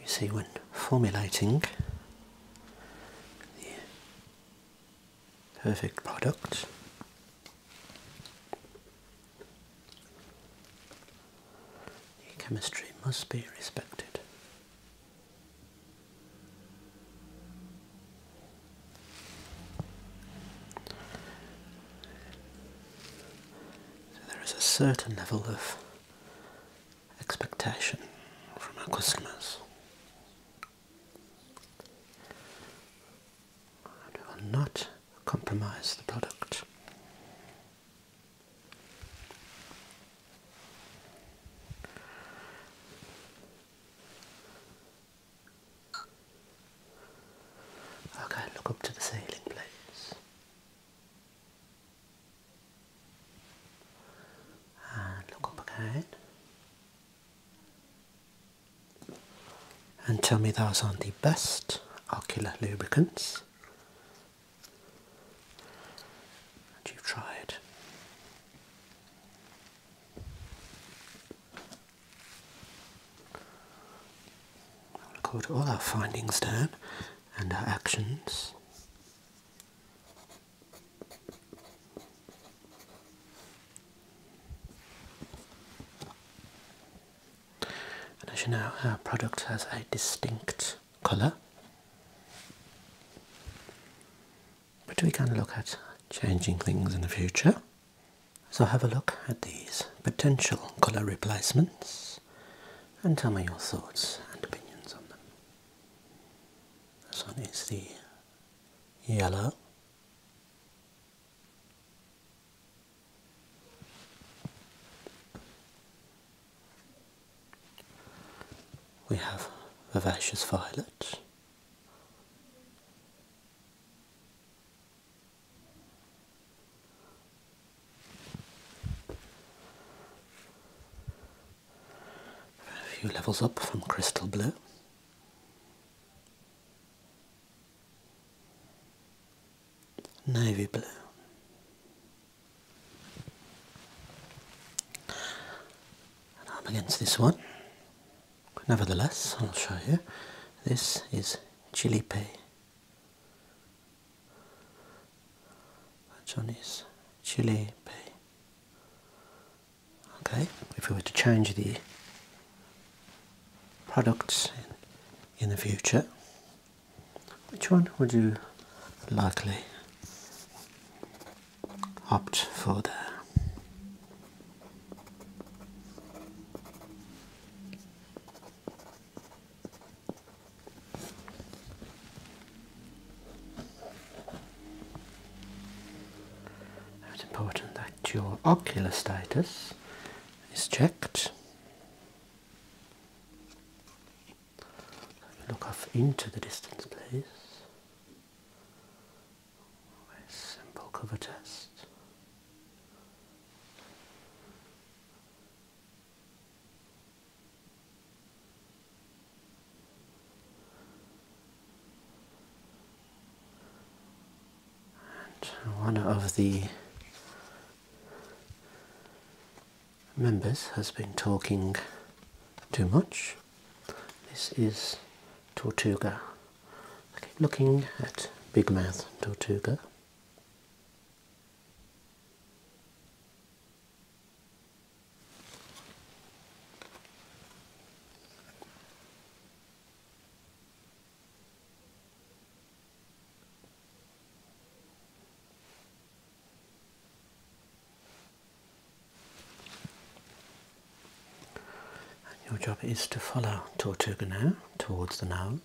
You see, when formulating the perfect product, the chemistry must be respected there is a certain level of expectation from our customers we will not compromise the product. Okay, look up to the ceiling, please. And look up again. And tell me those are not the best ocular lubricants that you've tried. I record all our findings down and our actions. as you know, our product has a distinct colour, but we can look at changing things in the future. So have a look at these potential colour replacements and tell me your thoughts and opinions on them. This one is the yellow. We have vivacious violet. A few levels up from crystal blue. Navy blue. And I'm against this one, Nevertheless, I'll show you. This is chili chilipe, which one is chilipe? Okay, if we were to change the products in the future, which one would you likely opt for the it's important that your ocular status is checked. Look off into the distance, please a simple cover test. And one of the members has been talking too much. This is tortuga. looking at big mouth tortuga. And your job is to follow Tortuga now towards the nose.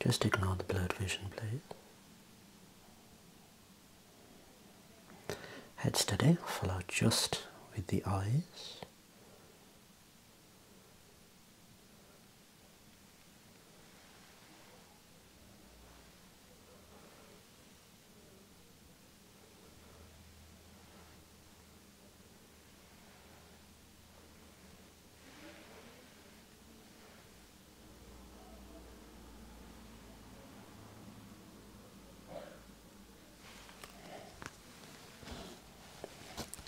Just ignore the blurred vision, please. Head steady, follow just with the eyes.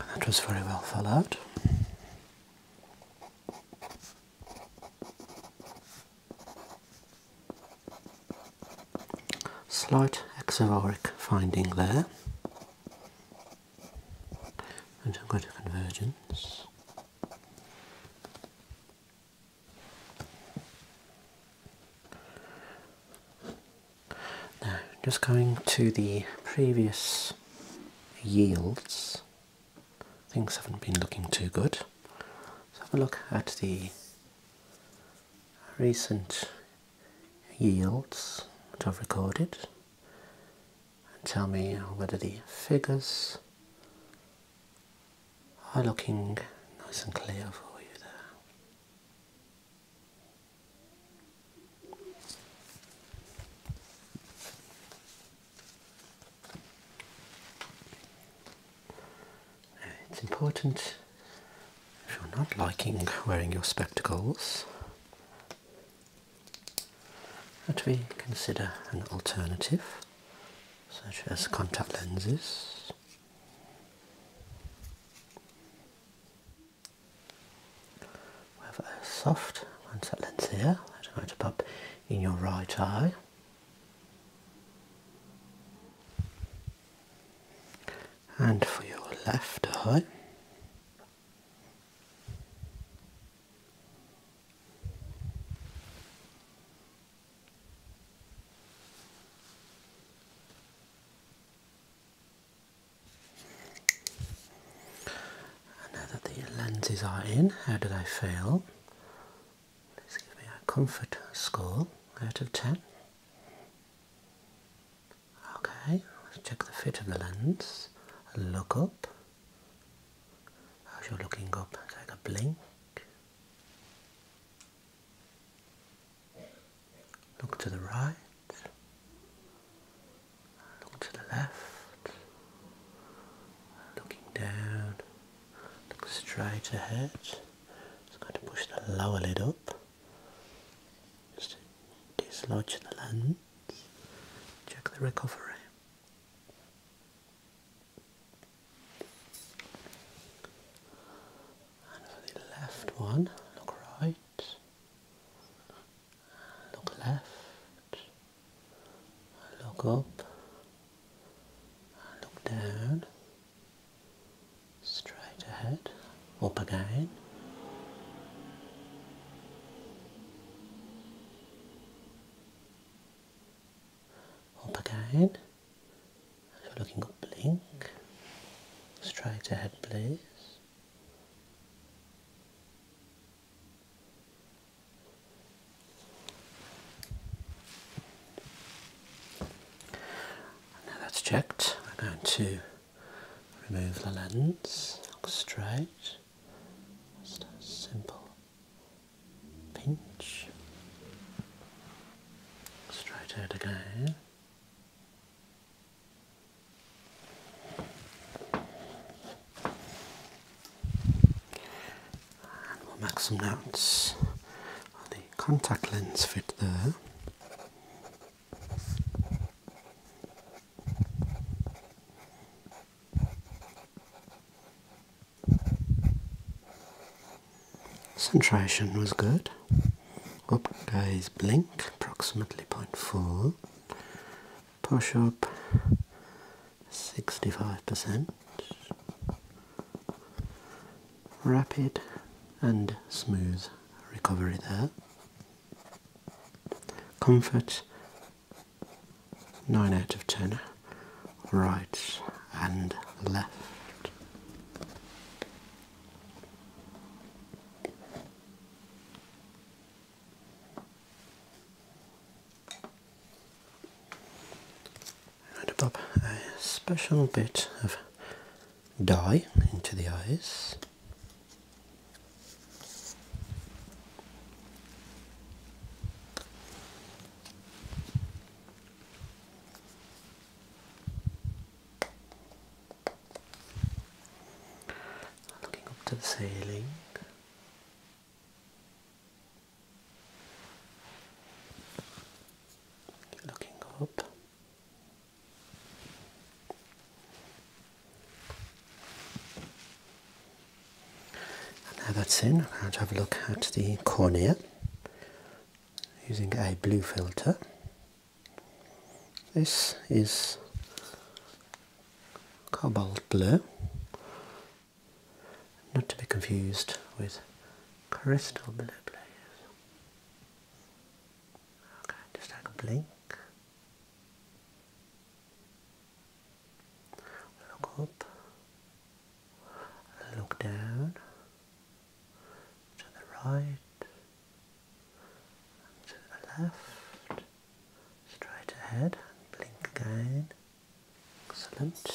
That was very well followed. Slight exororic finding there, and I'm going convergence. Now, just going to the previous yields things haven't been looking too good. Let's have a look at the recent yields that I've recorded and tell me whether the figures are looking nice and clear for you there. It's important if you're not liking wearing your spectacles that we consider an alternative such as contact lenses with a soft lens here that I'm going to pop in your right eye. And for your left eye, now that the lenses are in, how do they feel? Let's give me a comfort score out of 10. Okay, let's check the fit of the lens. Look up. As you looking up, take a blink. Look to the right look to the left, looking down, look straight ahead. Just going to push the lower lid up, just to dislodge the lens, check the recovery. And the left one, look right look left, look up, look down, straight ahead, up again. Up again. If you're looking up, blink. Straight ahead, please. Now that's checked, we're going to remove the lens, straight, just a simple pinch, straight out again. And some notes oh, the contact lens fit there. Concentration was good. Open guys. blink approximately 0.4. Push up 65%. Rapid and smooth recovery there. Comfort 9 out of 10. Right and left. And pop a special bit of dye into the eyes. Looking up to the ceiling. Looking up. And now that's in, I'm going to have a look at the cornea using a blue filter. This is cobalt blue, not to be confused with crystal blue, Okay, just take a blink. Look up, look down, to the right and to the left, straight ahead and blink again. Excellent.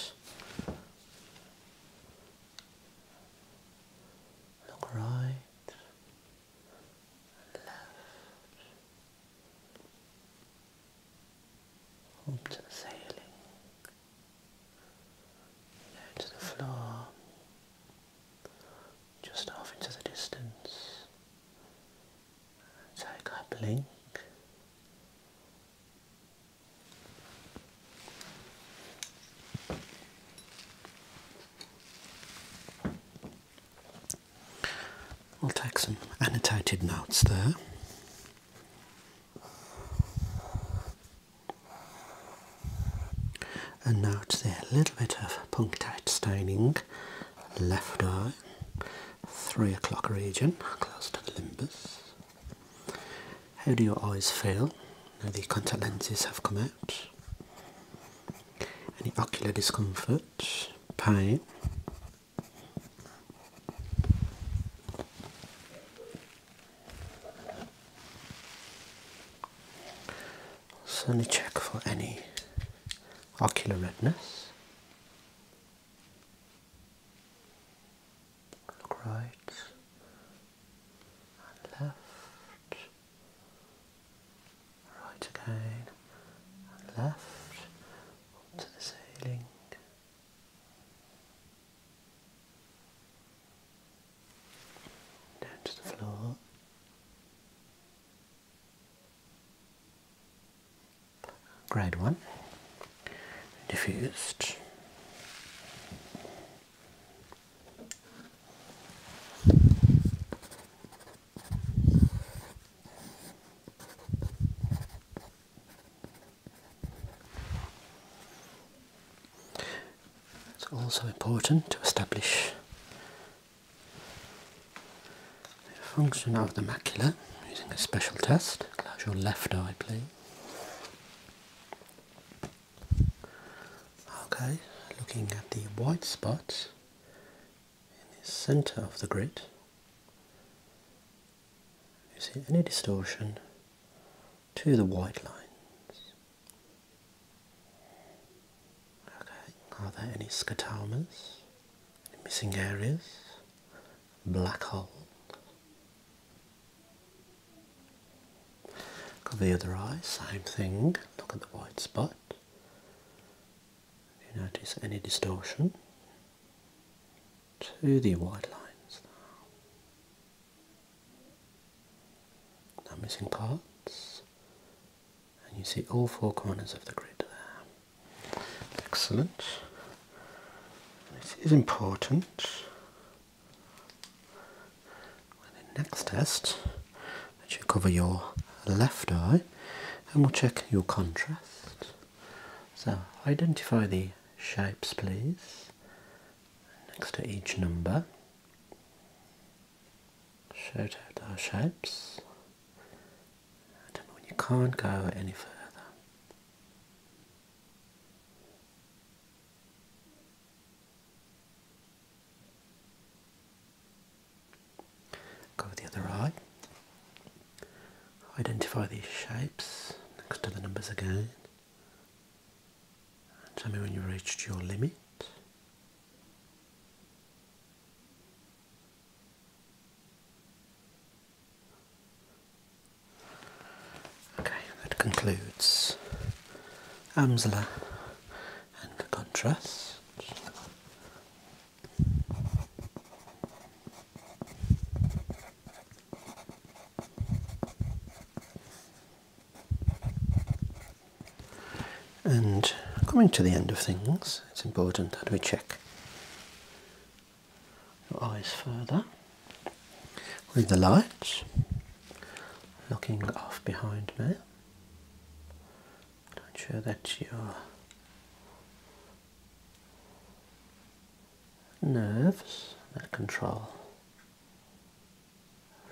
Look right left. Up to ceiling. Down to the floor just off into the distance. Take a blink. I'll take some annotated notes there. And note there a little bit of punctate staining, left eye, three o'clock region, close to the limbus. How do your eyes feel? Now the contact lenses have come out. Any ocular discomfort, pain? Certainly check for any ocular redness. Look right and left, right again and left to the ceiling down to the floor. Grade one, diffused. It's also important to establish the function of the macula using a special test. Close your left eye, please. Okay, looking at the white spot in the center of the grid. You see any distortion to the white lines. Okay, are there any scotomas? Any missing areas? Black holes? Look at the other eye, same thing. Look at the white spot. Do you notice any distortion to the white lines now? no missing parts and you see all four corners of the grid there. Excellent. This is important next test that you cover your left eye and we'll check your contrast. So identify the shapes please next to each number. Shout out our shapes. And when you can't go any further. Go with the other eye. Identify these shapes next to the numbers again tell me when you reached your limit. Okay, that concludes Amsler and the contrast. And coming to the end of things, it's important that we check your eyes further with the lights, looking off behind me. Make sure that you nerves that control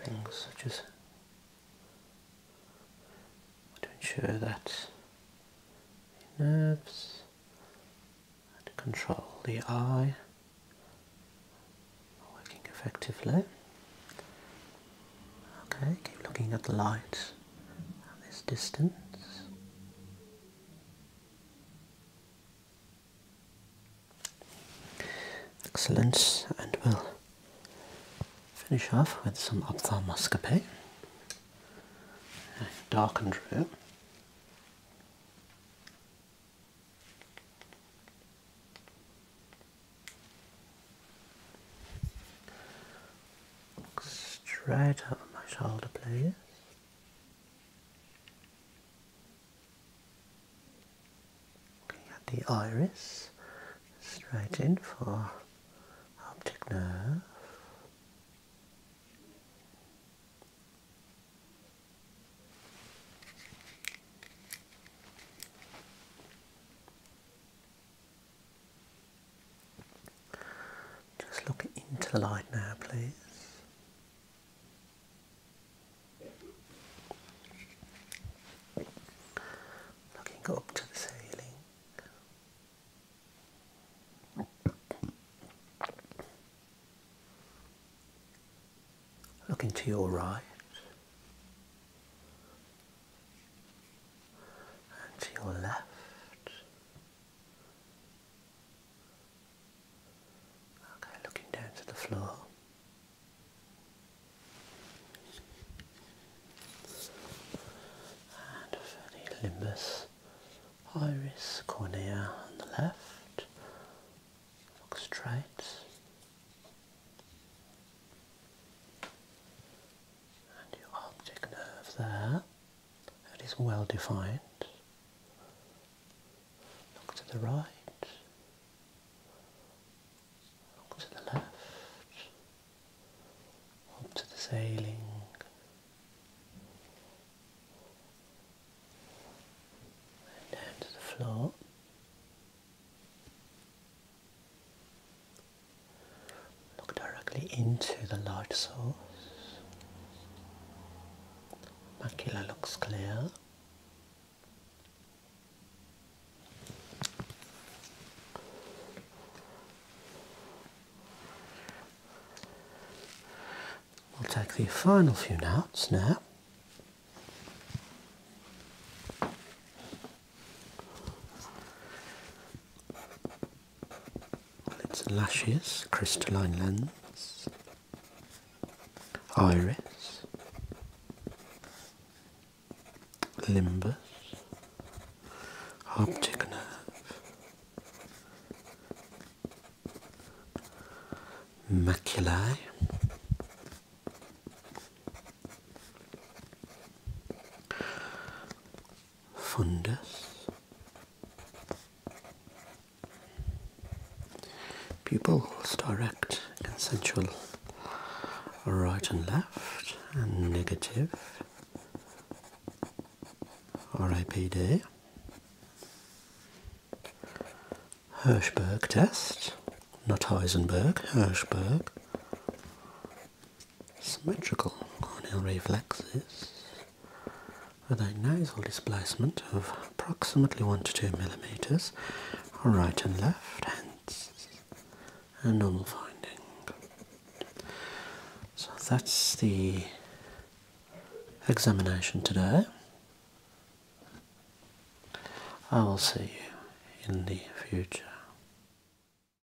things such as to ensure that nerves that control the eye are working effectively. Okay, keep looking at the light at this distance. Excellence, and we'll finish off with some ophthalmoscopy. darkened room. straight up my shoulder, please. Looking at the iris, straight in for optic nerve. Just look into the light now, please. Looking up to the ceiling. Looking to your right and to your left Okay, looking down to the floor. And for iris, cornea on the left. Look straight. And your optic nerve there that is well defined. Look to the right. Look to the left. Up to the ceiling. And down to the floor. Look directly into the light source. Macula looks clear. We'll take the final few notes now lids and lashes, crystalline lens, iris, limbus, optic nerve, maculae fundus, pupils direct consensual right and left and negative RAPD Hirschberg test, not Heisenberg, Hirschberg symmetrical corneal reflexes with a nasal displacement of approximately 1 to 2 millimeters on right and left, hence a normal finding. So that's the examination today. I will see you in the future.